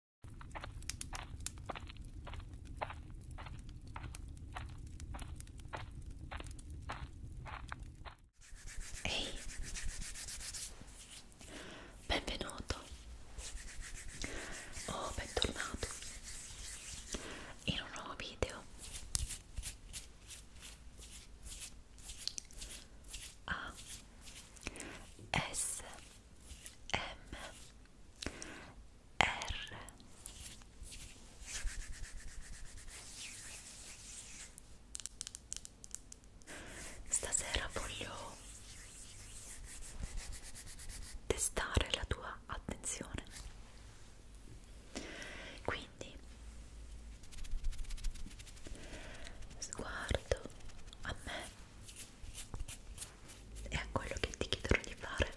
Ehi, hey. benvenuto o oh, bentornato in un nuovo video. A S M R Stasera voglio testare la tua attenzione. Quindi sguardo a me e a quello che ti chiederò di fare.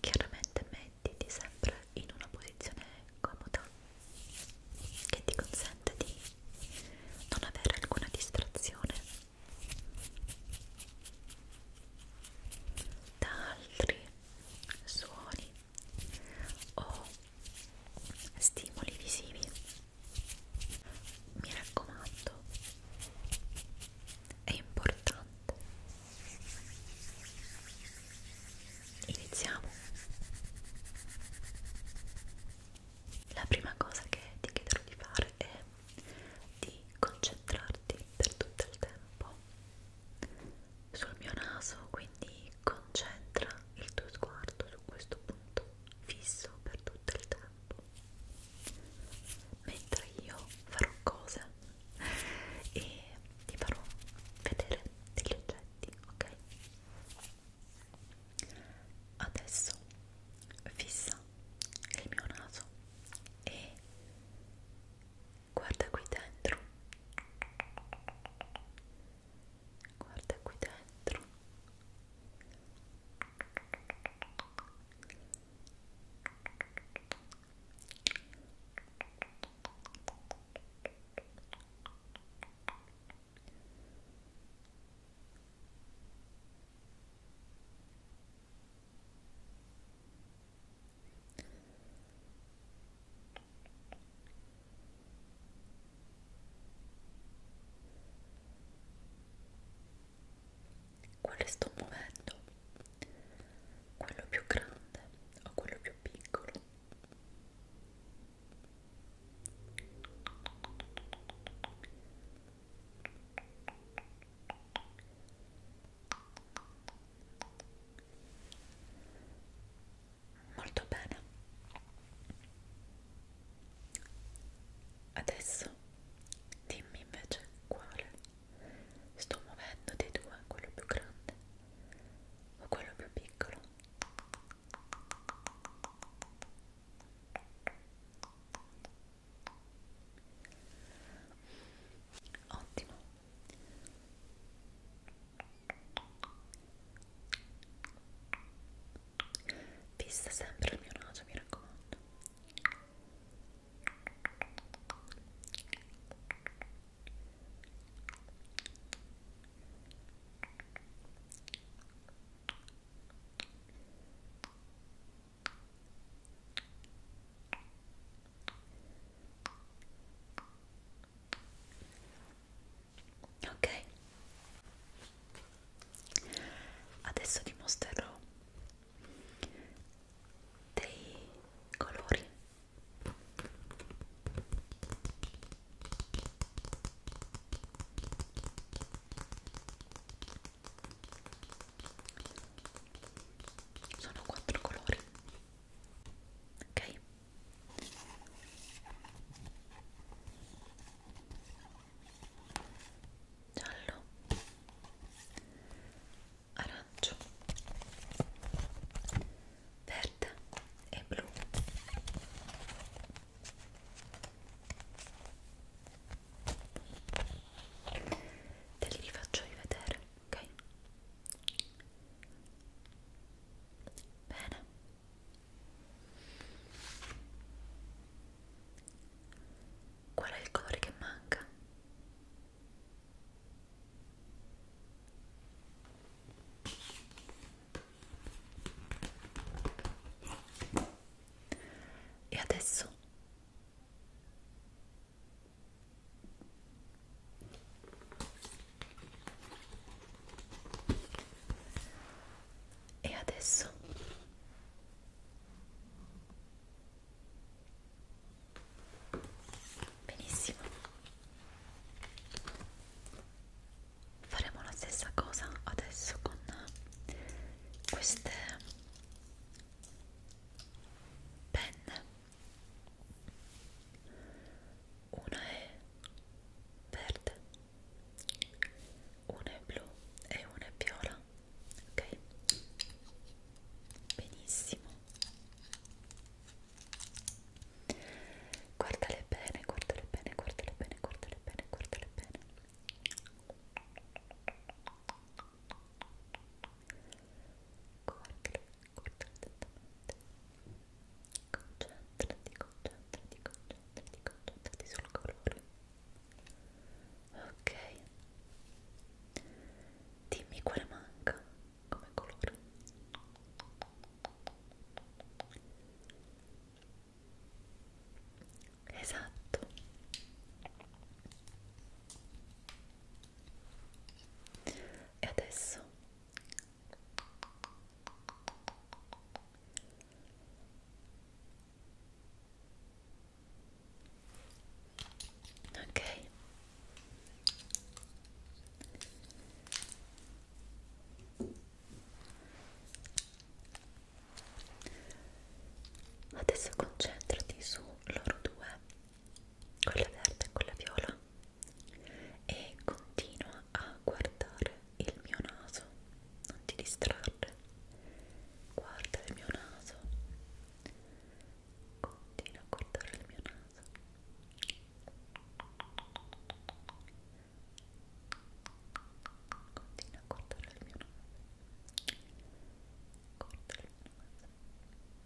Chiaramente mettiti sempre in una posizione comoda che ti consente di non avere alcuna distrazione da altri suoni o stimoli visivi mi raccomando, è importante. Iniziamo. La prima cosa che ti chiederò di fare è di concentrarti per tutto il tempo sul mio naso, quindi quindi concentra il tuo sguardo su questo punto fisso per tutto il tempo mentre io farò cose e ti farò vedere degli oggetti ok adesso fissa il mio naso e guarda qui dentro guarda qui dentro quale sto muovendo? Quello più grande o quello più piccolo? molto bene adesso dimmi invece quale sto muovendo dei due quello più grande o quello più piccolo ottimo Fissa sempre il mio naso, mi raccomando ok adesso ti mostrerò dei colori sono quattro colori ok giallo arancio verde e blu te li rifaccio rivedere ok Bene. Qual è il colore che manca? E adesso e adesso benissimo faremo la stessa cosa adesso con queste penne una è verde una è blu e una è viola ok benissimo guardale bene guardale bene guardale bene guardale bene guardale bene guardale guarda attentamente concentrati, concentrati, concentrati, concentrati sul colore ok dimmi quale manca come colore esatto e adesso ok adesso concentrati su loro due quella verde e quella viola e continua a guardare il mio naso non ti distrarre guarda il mio naso continua a guardare il mio naso continua a guardare il mio naso guarda il mio naso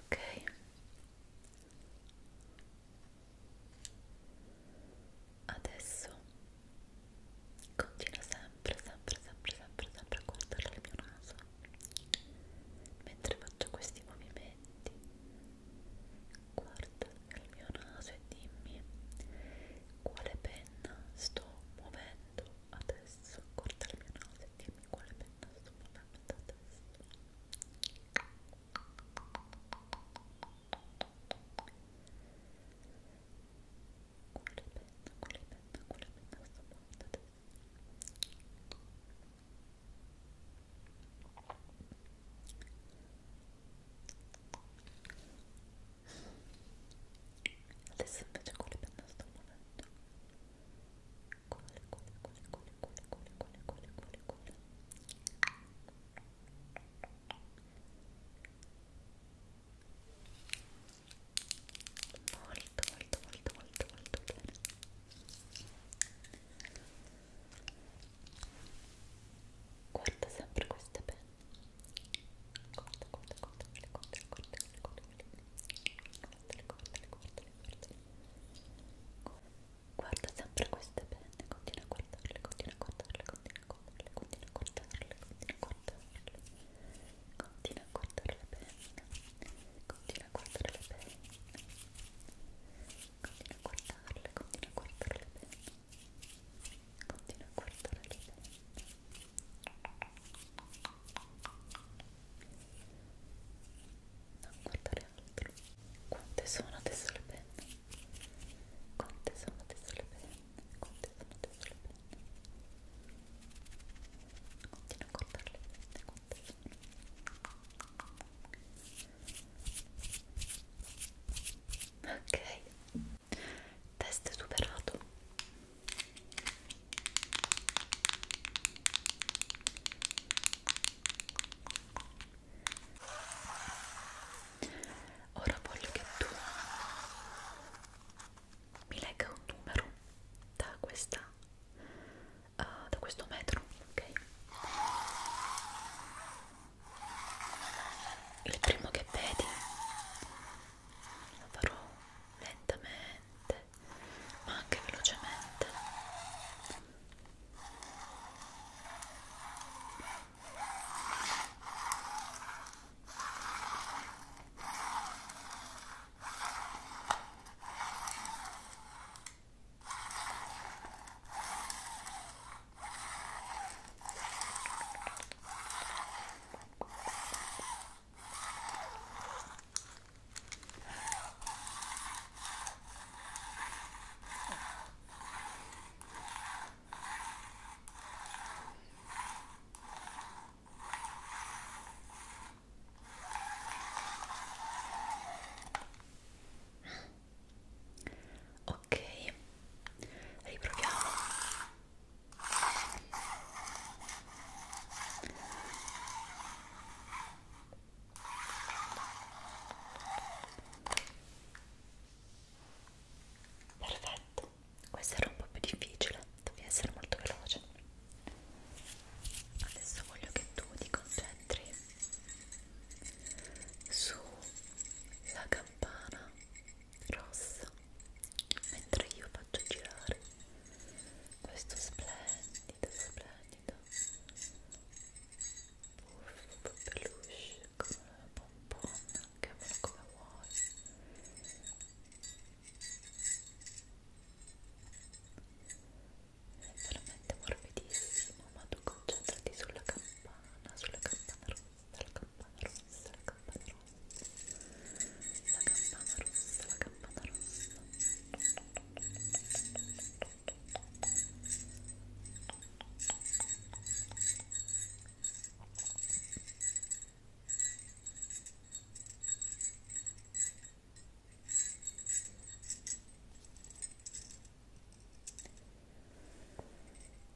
ok adesso continuo sempre sempre sempre sempre sempre a guardare il mio naso mentre faccio questi movimenti guarda il mio naso e dimmi quale penna sto muovendo adesso guarda il mio naso e dimmi quale penna sto muovendo adesso quale penna, quale penna, quale penna sto muovendo adesso ok, adesso invece quelle penna sto muovendo quelle, quelle, quelle, quelle, quelle, quelle, quelle, quelle, quelle, quelle molto, molto, molto, molto, molto bene guarda sempre queste penne Guarda sempre queste penne, continua a guardarle, continua a guardarle, continua a guardarle, continua a guardarle, continua a guardarle, continua a guardare le penne, continua a guardare le penne, continua a guardarle, continua a guardare le penne. Continua a guardare ridendo. Non guardare altro. Quante sono adesso le penne? Quante sono adesso le penne? Quante sono adesso le penne? Continua a guardare le penne. Quante sono? Ok test superato ora voglio che tu mi legga un numero da questa uh, da questo metro ok il primo che vedi lo farò lentamente ma anche velocemente Ok, riproviamo. Perfetto, questo era un po' più difficile, devi essere molto veloce. Adesso voglio che tu ti concentri sulla campana rossa mentre io faccio girare questo splendido splendido puff peluche come una pomponna chiamalo come vuoi è veramente morbidissimo ma tu concentrati sulla campana sulla campana rossa la campana rossa, la campana rossa, la campana rossa, la campana rossa.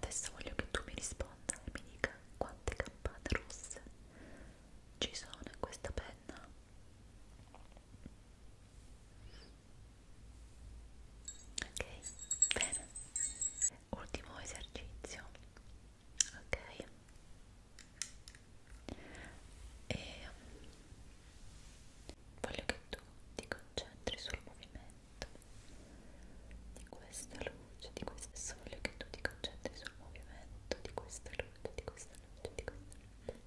Adesso voglio che tu mi risponda e mi dica quante campane rosse ci sono in questa penna. Ok, bene ultimo esercizio ok e ehm, voglio che tu ti concentri sul movimento di questa luce di questa adesso voglio che tu ti concentri sul movimento di questa luce di questa luce di questa luce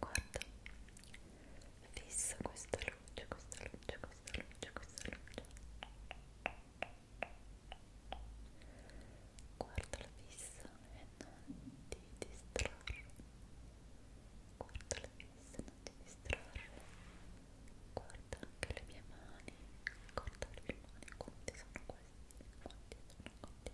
guarda fissa questa luce questa luce questa luce questa luce guarda la fissa e non ti distrarre guarda la fissa e non ti distrarre guarda anche le mie mani guarda le mie mani quante sono queste quante sono quante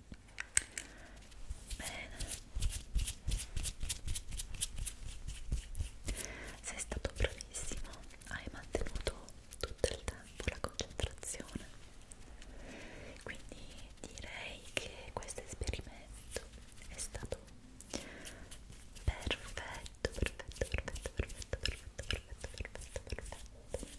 Bene. Sei stato bravissimo, hai mantenuto tutto il tempo la concentrazione. Quindi direi che questo esperimento è stato perfetto, perfetto, perfetto, perfetto, perfetto, perfetto, perfetto, perfetto.